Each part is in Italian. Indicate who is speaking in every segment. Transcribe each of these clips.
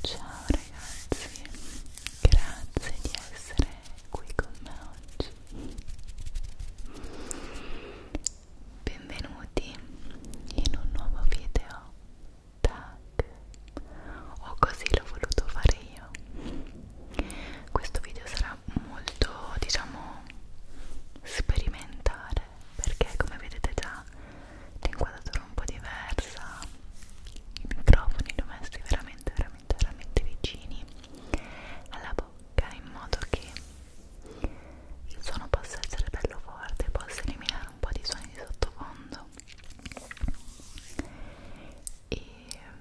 Speaker 1: Ciao ragazzi, grazie di essere qui con me oggi. Benvenuti in un nuovo video tac o così l'ho voluto fare io questo video sarà molto diciamo sperimentare perché come vedete già l'inquadratura è un po' diversa i microfoni li ho messi veramente veramente veramente vicini alla bocca in modo che il suono possa essere bello forte possa eliminare un po' di suoni di sottofondo e ehm,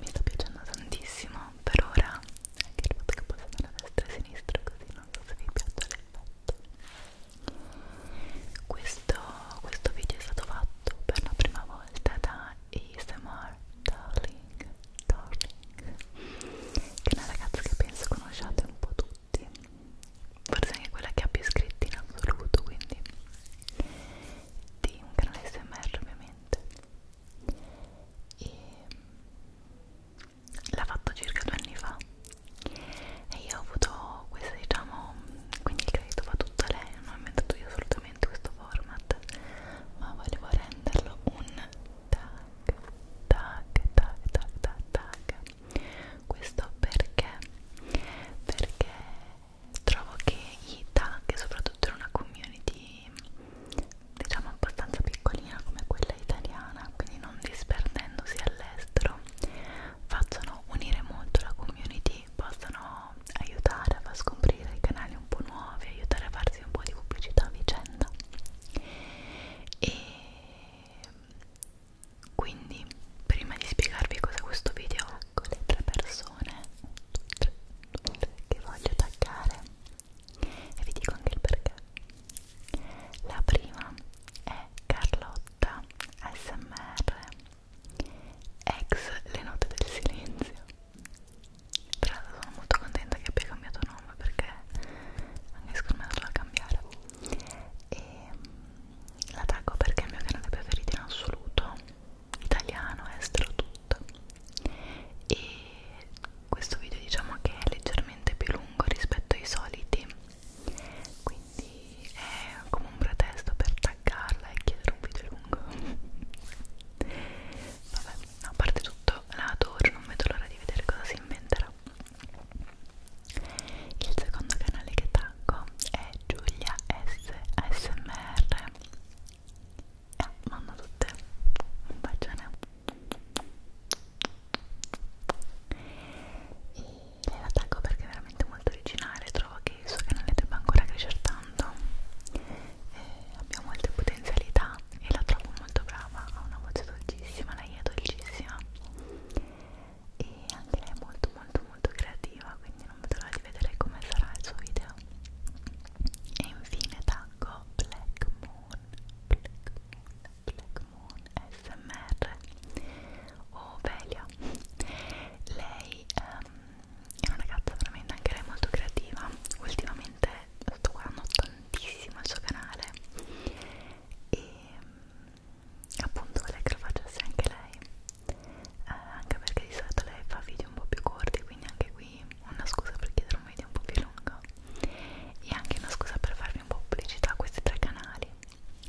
Speaker 1: mi sta piacendo tantissimo per ora anche il fatto che posso andare a destra e a sinistra così non so se vi piace l'effetto questo, questo video è stato fatto per la prima volta da ASMR Darling Darling che è una ragazza che penso conosciate un po' tutti forse anche quella che ha più iscritti in assoluto quindi di un canale SMR ovviamente e mm, l'ha fatto circa due anni fa e io ho avuto questa diciamo quindi il credito va tutto a lei non ho inventato io assolutamente questo format ma volevo renderlo un tag tag tag tag tag tag questo perché perché trovo che i tag soprattutto in una community diciamo abbastanza piccolina come quella italiana quindi non disperdendosi all'estero facciano unire molto la community possano aiutare a far scoprire i canali un po' nuovi aiutare a farsi un po' di pubblicità a vicenda e quindi prima di spiegarvi cosa questo video ha con le tre persone che voglio attaccare e vi dico anche il perché la prima è Carlotta SMR ex le note del silenzio tra l'altro sono molto contenta che abbia cambiato nome perché anche secondo me dovrà cambiare e la taggo perché è il mio canale preferito in assoluto italiano, estero, tutto e questo video diciamo che è leggermente più lungo rispetto ai soliti quindi è come un pretesto per taggarla e chiedere un video lungo vabbè, a parte tutto la adoro, non vedo l'ora di vedere cosa si inventerà il secondo canale che taggo è Giulia S ASMR. E ah, vanno tutte. Un bacione. E lei la taggo perché è veramente molto originale. Trovo che il suo canale debba ancora crescere tanto. E abbia molte potenzialità e la trovo molto brava. Ha una voce dolcissima, lei è dolcissima e anche lei è molto molto molto creativa quindi non vedo l'ora di vedere come sarà il suo video e infine taggo Black Moon Black Moon Black Moon SMR o oh, Velia lei um, è una ragazza veramente anche lei molto creativa ultimamente sto guardando tantissimo il suo canale e um, appunto voleva che lo facesse anche lei eh, anche perché di solito lei fa video un po' più corti quindi anche qui una scusa per chiedere un video un po' più lungo e anche una scusa per farvi un po' pubblicità a questi tre canali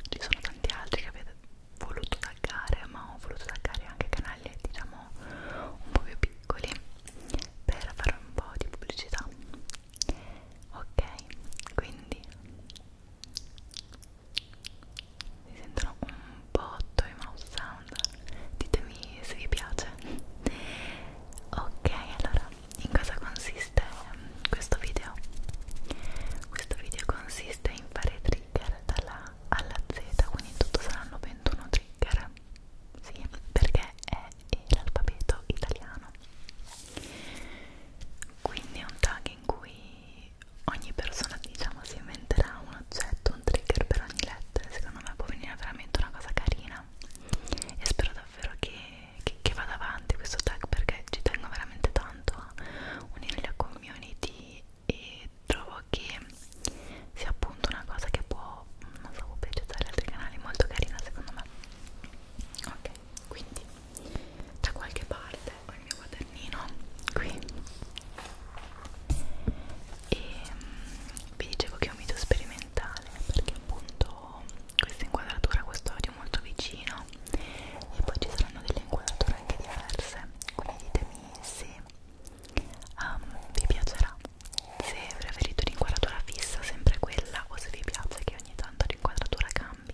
Speaker 1: ci sono tanti altri che avete voluto taggare ma ho voluto taggare anche canali diciamo un po' più piccoli per fare un po' di pubblicità ok quindi si sentono un botto i mouse sound ditemi se vi piace ok allora in cosa consiste ehm, questo video questo video consiste in fare trigger dalla A alla Z quindi in tutto saranno 21 trigger sì perché è l'alfabeto italiano quindi è un tag in cui ogni persona diciamo si inventerà un oggetto, un trigger per ogni lettera secondo me può venire veramente una cosa carina e spero davvero che, che, che vada avanti questo tag perché ci tengo veramente tanto a unire la community e trovo che sia appunto una cosa che può non so, piacere agli altri canali molto carina secondo me ok quindi da qualche parte ho il mio quadernino qui e mm, vi dicevo che è un video sperimentale perché appunto questa inquadratura, questo audio molto vicino e poi ci saranno delle inquadrature anche diverse quindi ditemi se um, vi piacerà se preferite un'inquadratura fissa sempre quella o se vi piace che ogni tanto l'inquadratura cambi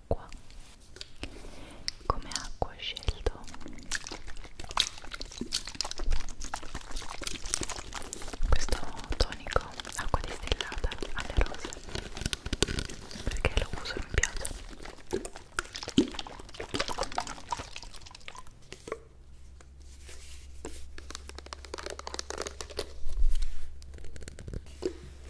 Speaker 1: acqua come acqua ho scelto questo tonico acqua distillata alle rose perché lo uso e mi piace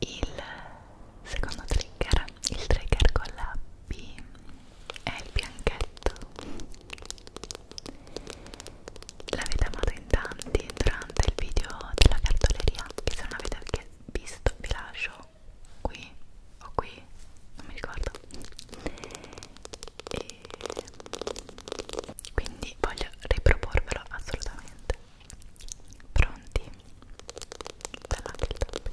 Speaker 1: Il secondo trigger, il trigger con la B è il bianchetto. L'avete amato in tanti durante il video della cartoleria, che se non avete visto vi lascio qui o qui, non mi ricordo e quindi voglio riproporvelo assolutamente pronti? bella anche il tapping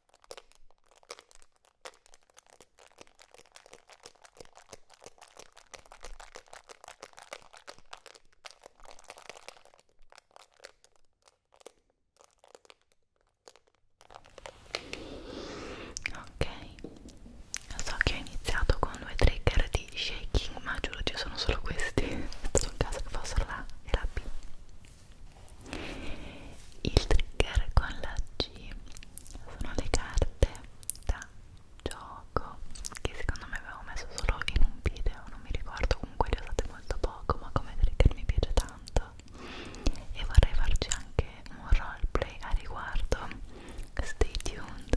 Speaker 1: Ok, lo so che ho iniziato con due trigger di shaking, ma giuro ci sono solo questi. È stato un caso che fossero la e la B. Il trigger con la G sono le carte da gioco che secondo me avevo messo solo in un video, non mi ricordo, comunque le usate molto poco, ma come trigger mi piace tanto e vorrei farci anche un roleplay a riguardo. Stay tuned.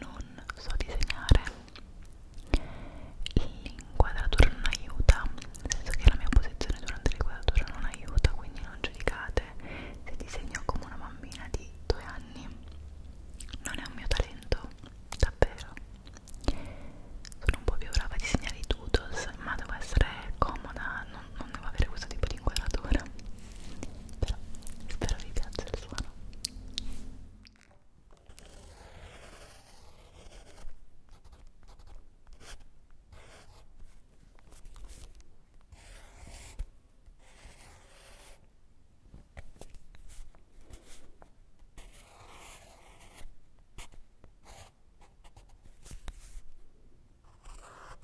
Speaker 1: non so disegnare l'inquadratura non aiuta nel senso che la mia posizione durante l'inquadratura non aiuta quindi non giudicate se disegno come una bambina di due anni non è un mio talento davvero sono un po' più brava a disegnare i doodles ma devo essere comoda non, non devo avere questo tipo di inquadratura però spero vi piaccia il suono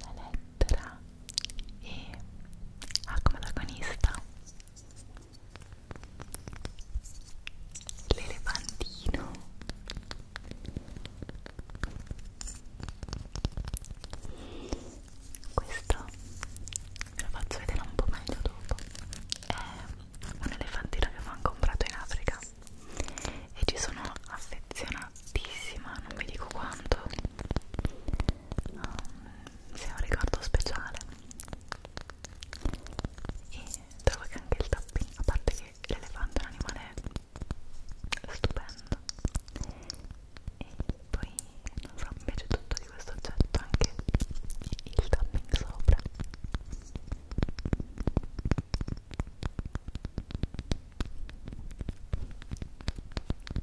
Speaker 1: la lettera E ha come protagonista l'elefantino questo ve lo faccio vedere un po' meglio dopo è un elefantino che ho comprato in Africa e ci sono affezionatissima non vi dico quanto um, sia un ricordo speciale e trovo che anche il tappino, a parte che l'elefante è un animale stupendo e poi non so, mi piace tutto di questo oggetto anche il tapping sopra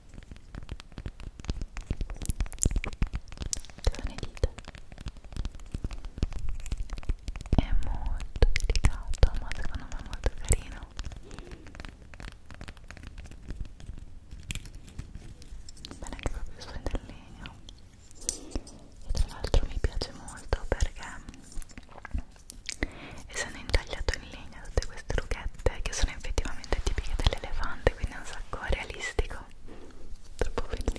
Speaker 1: sono le dita è molto delicato ma secondo me è molto carino bene anche proprio su del legno e tra l'altro mi piace molto perché essendo intagliato in linea tutte queste rughette che sono effettivamente tipiche dell'elefante quindi è un sacco realistico troppo bellino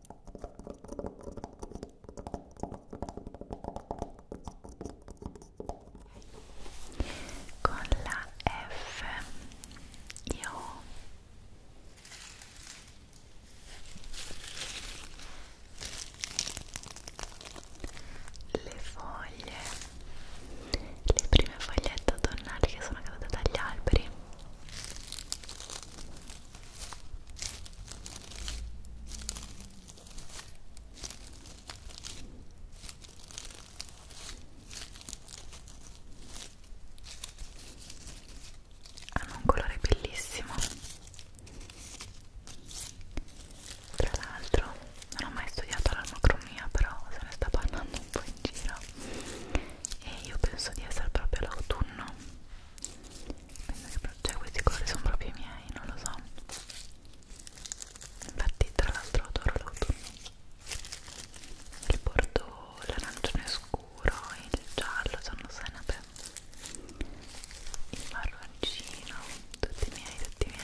Speaker 1: con la F io le foglie le prime fogliette autunnali che sono cadute dagli alberi hanno un colore bellissimo tra l'altro non ho mai studiato l'armocromia però se ne sta parlando un po' in giro e io penso di essere proprio l'autunno penso che cioè, questi colori sono proprio i miei, non lo so infatti tra l'altro adoro l'autunno il bordeaux, l'arancione scuro, il giallo sono senape il marroncino, tutti miei, tutti miei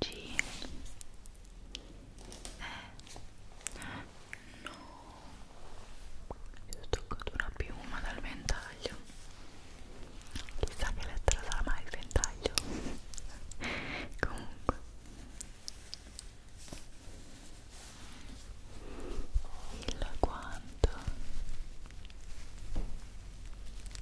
Speaker 1: G E No Mi ho toccato una piuma dal ventaglio Chissà che lettera sarà mai il ventaglio Comunque il guanto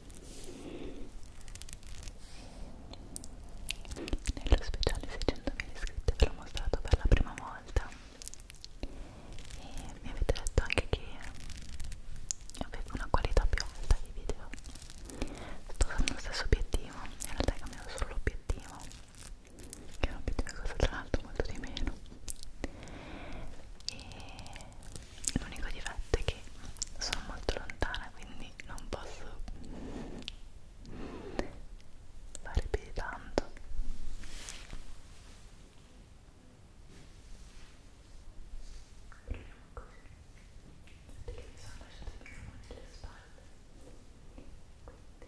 Speaker 1: Nello speciale 600.000 iscritti ve l'ho mostrato per la prima volta e mi avete detto anche che avevo una qualità più alta di video sto usando lo stesso obiettivo in realtà è cambiato solo l'obiettivo che è un obiettivo che costa tra l'altro molto di meno e l'unico difetto è che sono molto lontana quindi cui non posso fare più di tanto Proviamo così Vedete che mi sono lasciato il microfono nelle spalle Quindi Ecco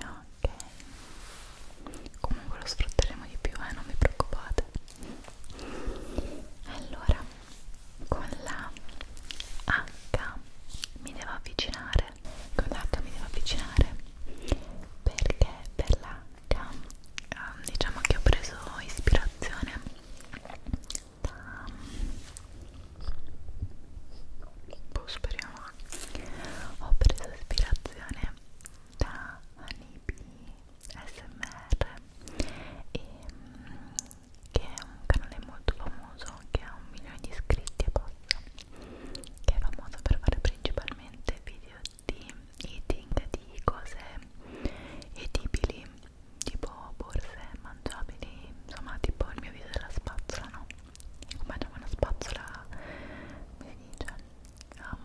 Speaker 1: Ok, comunque lo sfrutteremo di più, eh, non vi preoccupate. Allora, con la H mi devo avvicinare, con l'H mi devo avvicinare perché per la pratica um, ehm, diciamo che ho preso ispirazione da boh, speriamo ho preso ispirazione da Anibi SMR e, ehm, che è un canale molto famoso che ha un milione di iscritti e basta che è famoso per fare principalmente video di eating, di cose edibili, tipo borse mangiabili, insomma tipo il mio video della spazzola, no? Come diciamo una spazzola, come si dice? Um,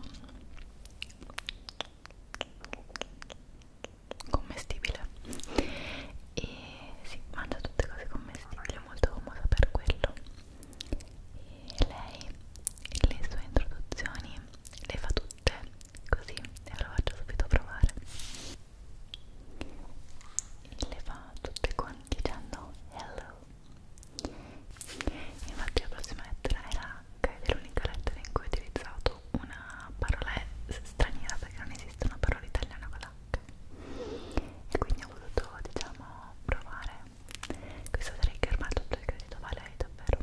Speaker 1: commestibile e si mangia tutte cose commestibili, è molto comoda per quello e lei, le sue introduzioni le fa tutte così e ve lo faccio subito provare e le fa tutte quanti dicendo hello infatti la prossima lettera era H ed è l'unica lettera in cui ho utilizzato una parola straniera perché non esiste una parola italiana con l'H e quindi ho voluto diciamo provare questo trigger ma tutto il credito vale davvero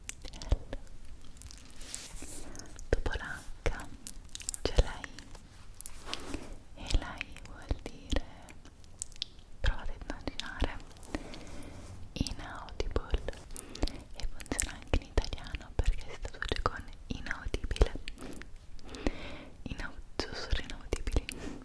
Speaker 1: Dopo l'H c'è la I e la I vuol dire provate a immaginare inaudible e funziona anche in italiano perché si traduce con inaudibile Inaud sussurri inaudibili quindi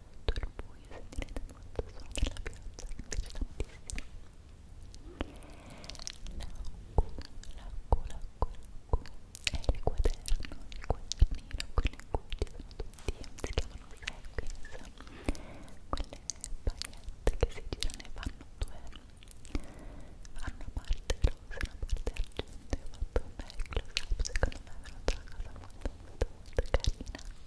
Speaker 1: molto al buio, sentirete molto suono della pioggia che mi piace tantissimo l'acqua, l'acqua, l'acqua, l'acqua è il quaderno, il quadernino quello in cui ci sono tutti, si chiamano sequence quelle pagliette che si girano e fanno due fanno una parte rosa e una parte argente ho fatto un necklace, secondo me è venuta una cosa molto molto molto carina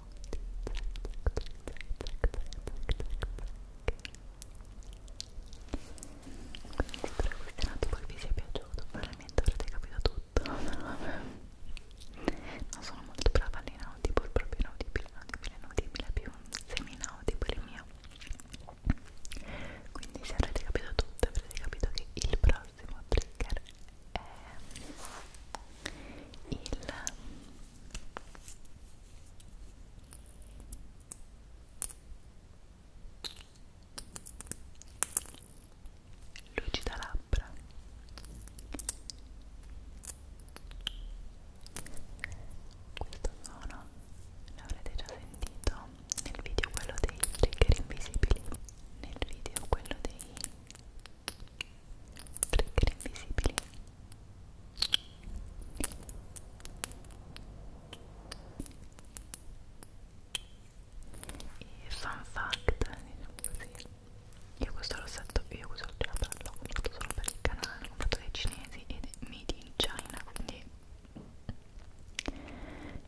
Speaker 1: ponte quindi spero che questo nato poi vi sia piaciuto probabilmente avrete capito tutto non sono molto brava all'inaudibile proprio inaudibile, inaudibile, inaudibile più semi-inaudibile mio quindi se avrete capito tutto avrete capito che il prossimo trigger è il lucida labbra questo suono l'avrete già sentito nel video quello dei trigger invisibili nel video quello dei trigger invisibili e fun fact diciamo così io questo rossetto io questo l'ho comprato solo per il canale l'ho comprato dai cinesi ed è made in China quindi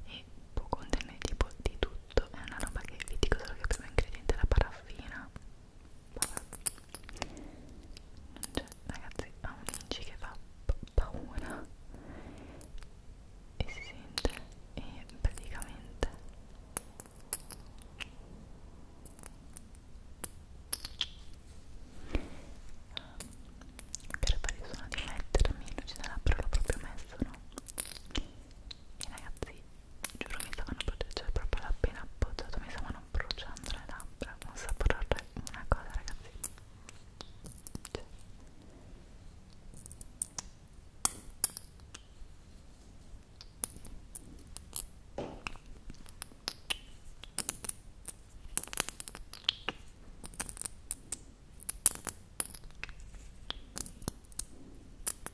Speaker 1: e può contenere tipo di tutto è una roba che vi dico solo che il primo ingrediente è la paraffina cioè, ragazzi, ha un inci che fa paura e si sente e praticamente per fare il suono di mettermi non ce l'ha però l'ho proprio messo no? e ragazzi giuro mi stavano proteggendo cioè, proprio l'appena appoggiato mi stavano bruciando le labbra un sapore una cosa ragazzi cioè. Ecco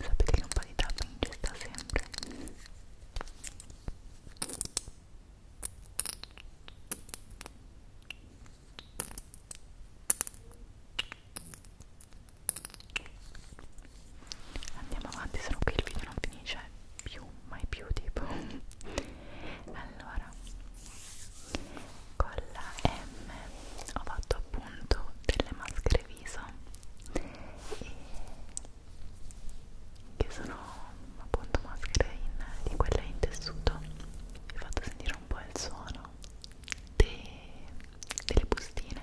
Speaker 1: Sapete che un po' di tapping ci sta sempre. Andiamo avanti, se no qui il video non finisce più mai più tipo allora con la M ho fatto appunto delle maschere viso e che sono appunto maschere in, di quelle in tessuto vi ho fatto sentire un po' il suono de, delle bustine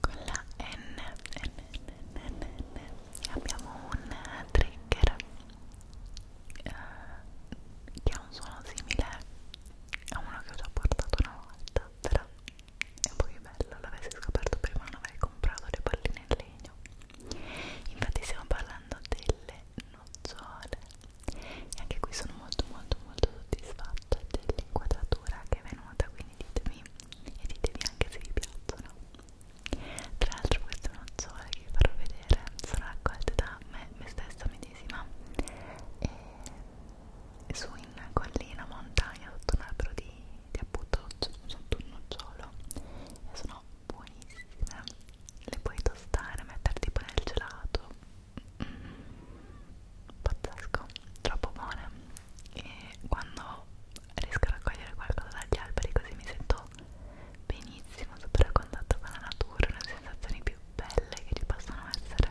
Speaker 1: con la N, N, N, N, N, N. abbiamo un trigger eh, che ha un suono simile a uno che ho già portato una volta però è un po' più bello l'avessi scoperto prima non avrei comprato le palline in legno infatti stiamo parlando delle nocciole e anche qui sono molto molto molto soddisfatta dell'inquadratura che è venuta quindi ditemi e ditemi anche se vi piacciono tra l'altro queste nocciole che vi farò vedere sono raccolte da me, me stessa medesima e su in collina, montagna, sotto un albero di, di appunto sotto un nocciolo e sono buonissime le puoi tostare, mettere tipo nel gelato pazzesco, troppo buone e quando riesco a raccogliere qualcosa dagli alberi così mi sento benissimo, super a contatto con la natura, le sensazioni più belle che ci possono essere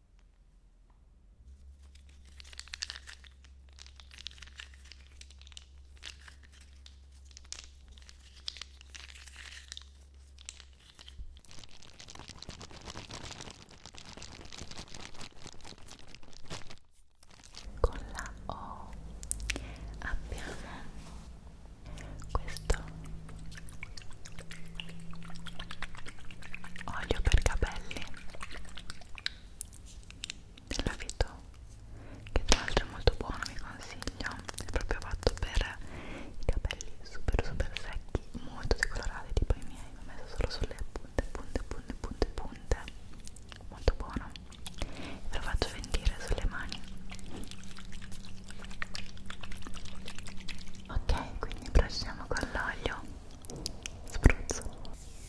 Speaker 1: Con la O abbiamo questo olio per capelli della Vito che tra l'altro è molto buono vi consiglio è proprio fatto per i capelli super super secchi molto decolorati tipo i miei mi ho messo solo sulle punte punte punte punte punte molto buono ve lo faccio venire sulle mani ok quindi procediamo con l'olio spruzzo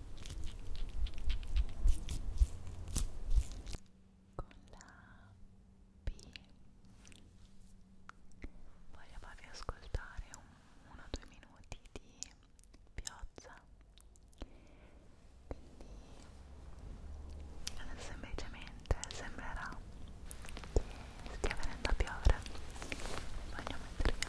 Speaker 1: con la B voglio farvi ascoltare un, uno o due minuti di pioggia quindi semplicemente sembrerà che stia venendo a piovere voglio mettervi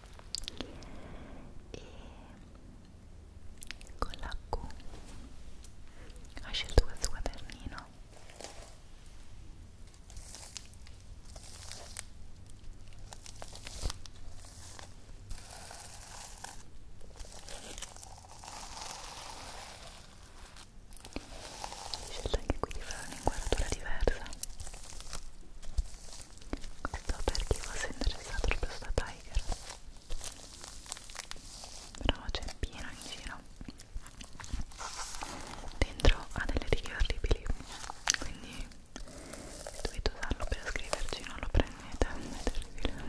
Speaker 1: e con la Q ho scelto questo quadernino ho scelto anche qui di fare un'inquadratura diversa questo per chi fosse interessato proprio sta Tiger però c'è piena in giro dentro ha delle righe orribili quindi se dovete usarlo per scriverci non lo prendete è terribile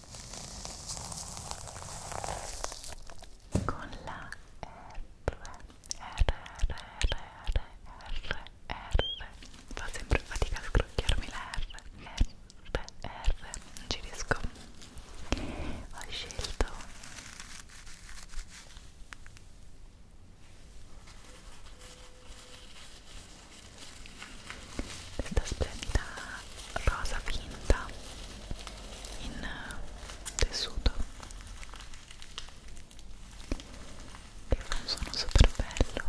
Speaker 1: con la R R R R R R R fa sempre fatica a scrocchiarmi la R R R non ci riesco ho scelto questa splendida rosa finta in eh, tessuto che fa un suono super bello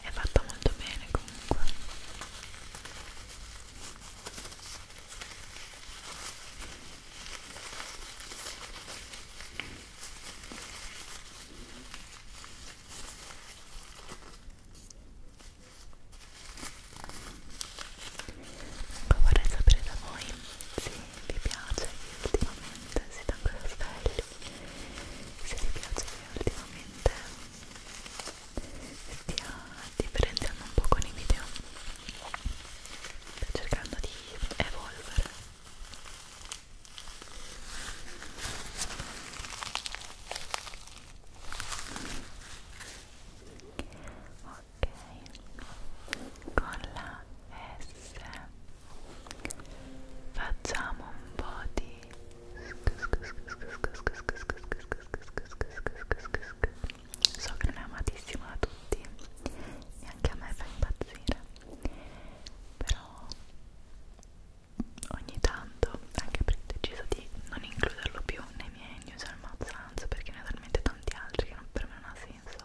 Speaker 1: è fatta molto bene comunque Comunque ecco, vorrei sapere da voi se vi piace che ultimamente siete ancora svegli, se vi piace che ultimamente stia differenziando un po' con i video, sto cercando di evolvere ok con la S facciamo un po' di so che non è amatissimo da tutti neanche a me fa impazzire però ogni tanto anche perché ho deciso di non includerlo più nei miei news al mazzanza perché ne ho talmente tanti altri che non, per me non ha senso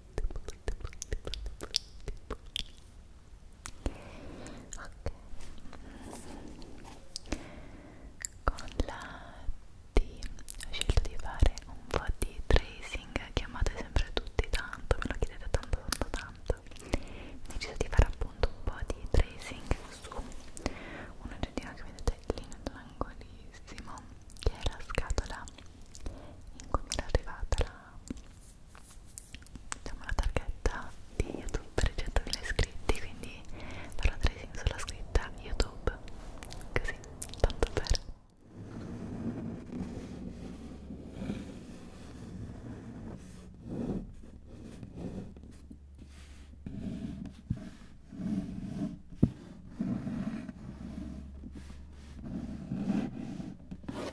Speaker 1: con la D ho scelto di fare un po' di tracing chiamate sempre tutti tanto me lo chiedete tanto tanto tanto ho deciso di fare appunto un po' di tracing su un oggettino che vedete lì nell'angolissimo che è la scatola in cui mi era arrivata la Facciamo la targhetta di YouTube per i 100.000 iscritti, quindi farò tracing sulla scritta YouTube, così, tanto per... Ecco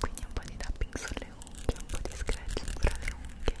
Speaker 1: quindi un po' di tapping sulle unghie, un po' di scratching fra le unghie Ora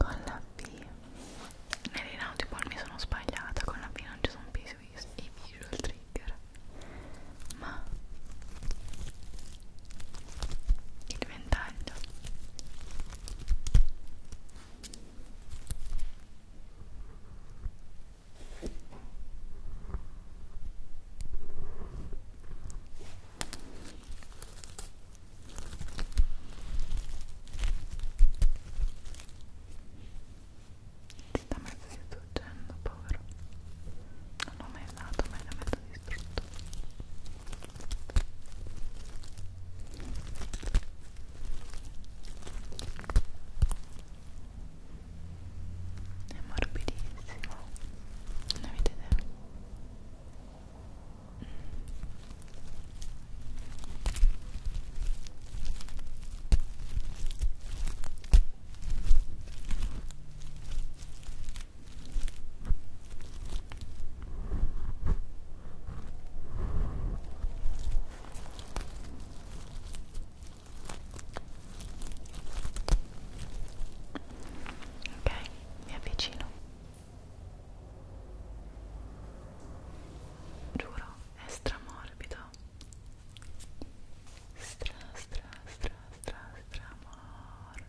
Speaker 1: Con la B nell'inautipol mi sono sbagliata, con la B non ci sono i visual trigger ma il ventaglio si sta mezzo distruggendo povero non l'ho mai usato ma è da mezzo distrutto è morbidissimo, non vedete? Mm. Ok, mi avvicino. Giuro, è stramorbido. Stra, stra, stra, stra, stramorbido.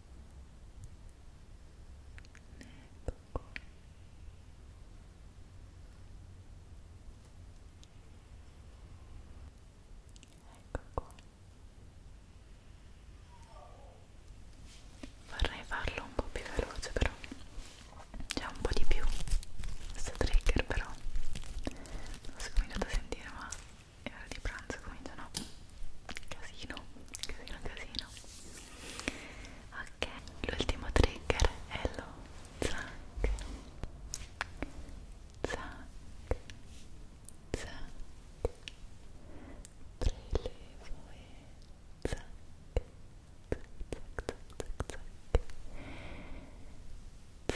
Speaker 1: Ecco qua. Ecco qua. Vorrei farlo un po' più veloce però c'è un po' di più questo trigger però non so come andate a sentire ma è ora di pranzo cominciano casino casino casino ok l'ultimo trigger è lo zac zac zac prelevo e zac zac zac zac zac zac zac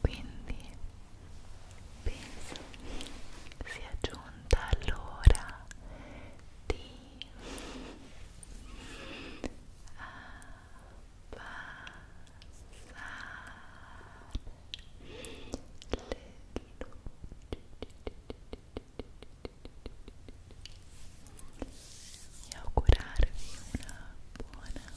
Speaker 1: quindi penso sia giunta l'ora di abbassare ah, le luci e augurarvi una buona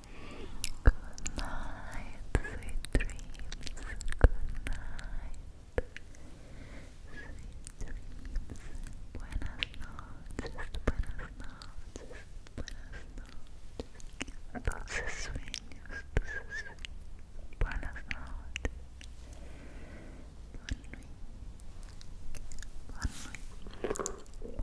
Speaker 1: Good night, sweet dreams. Good night, sweet dreams. Buenas noches, buenas noches, buenas noches. Dulces sueños, dulces sueños. Buenas noches. Bonne nuit. Bonne nuit.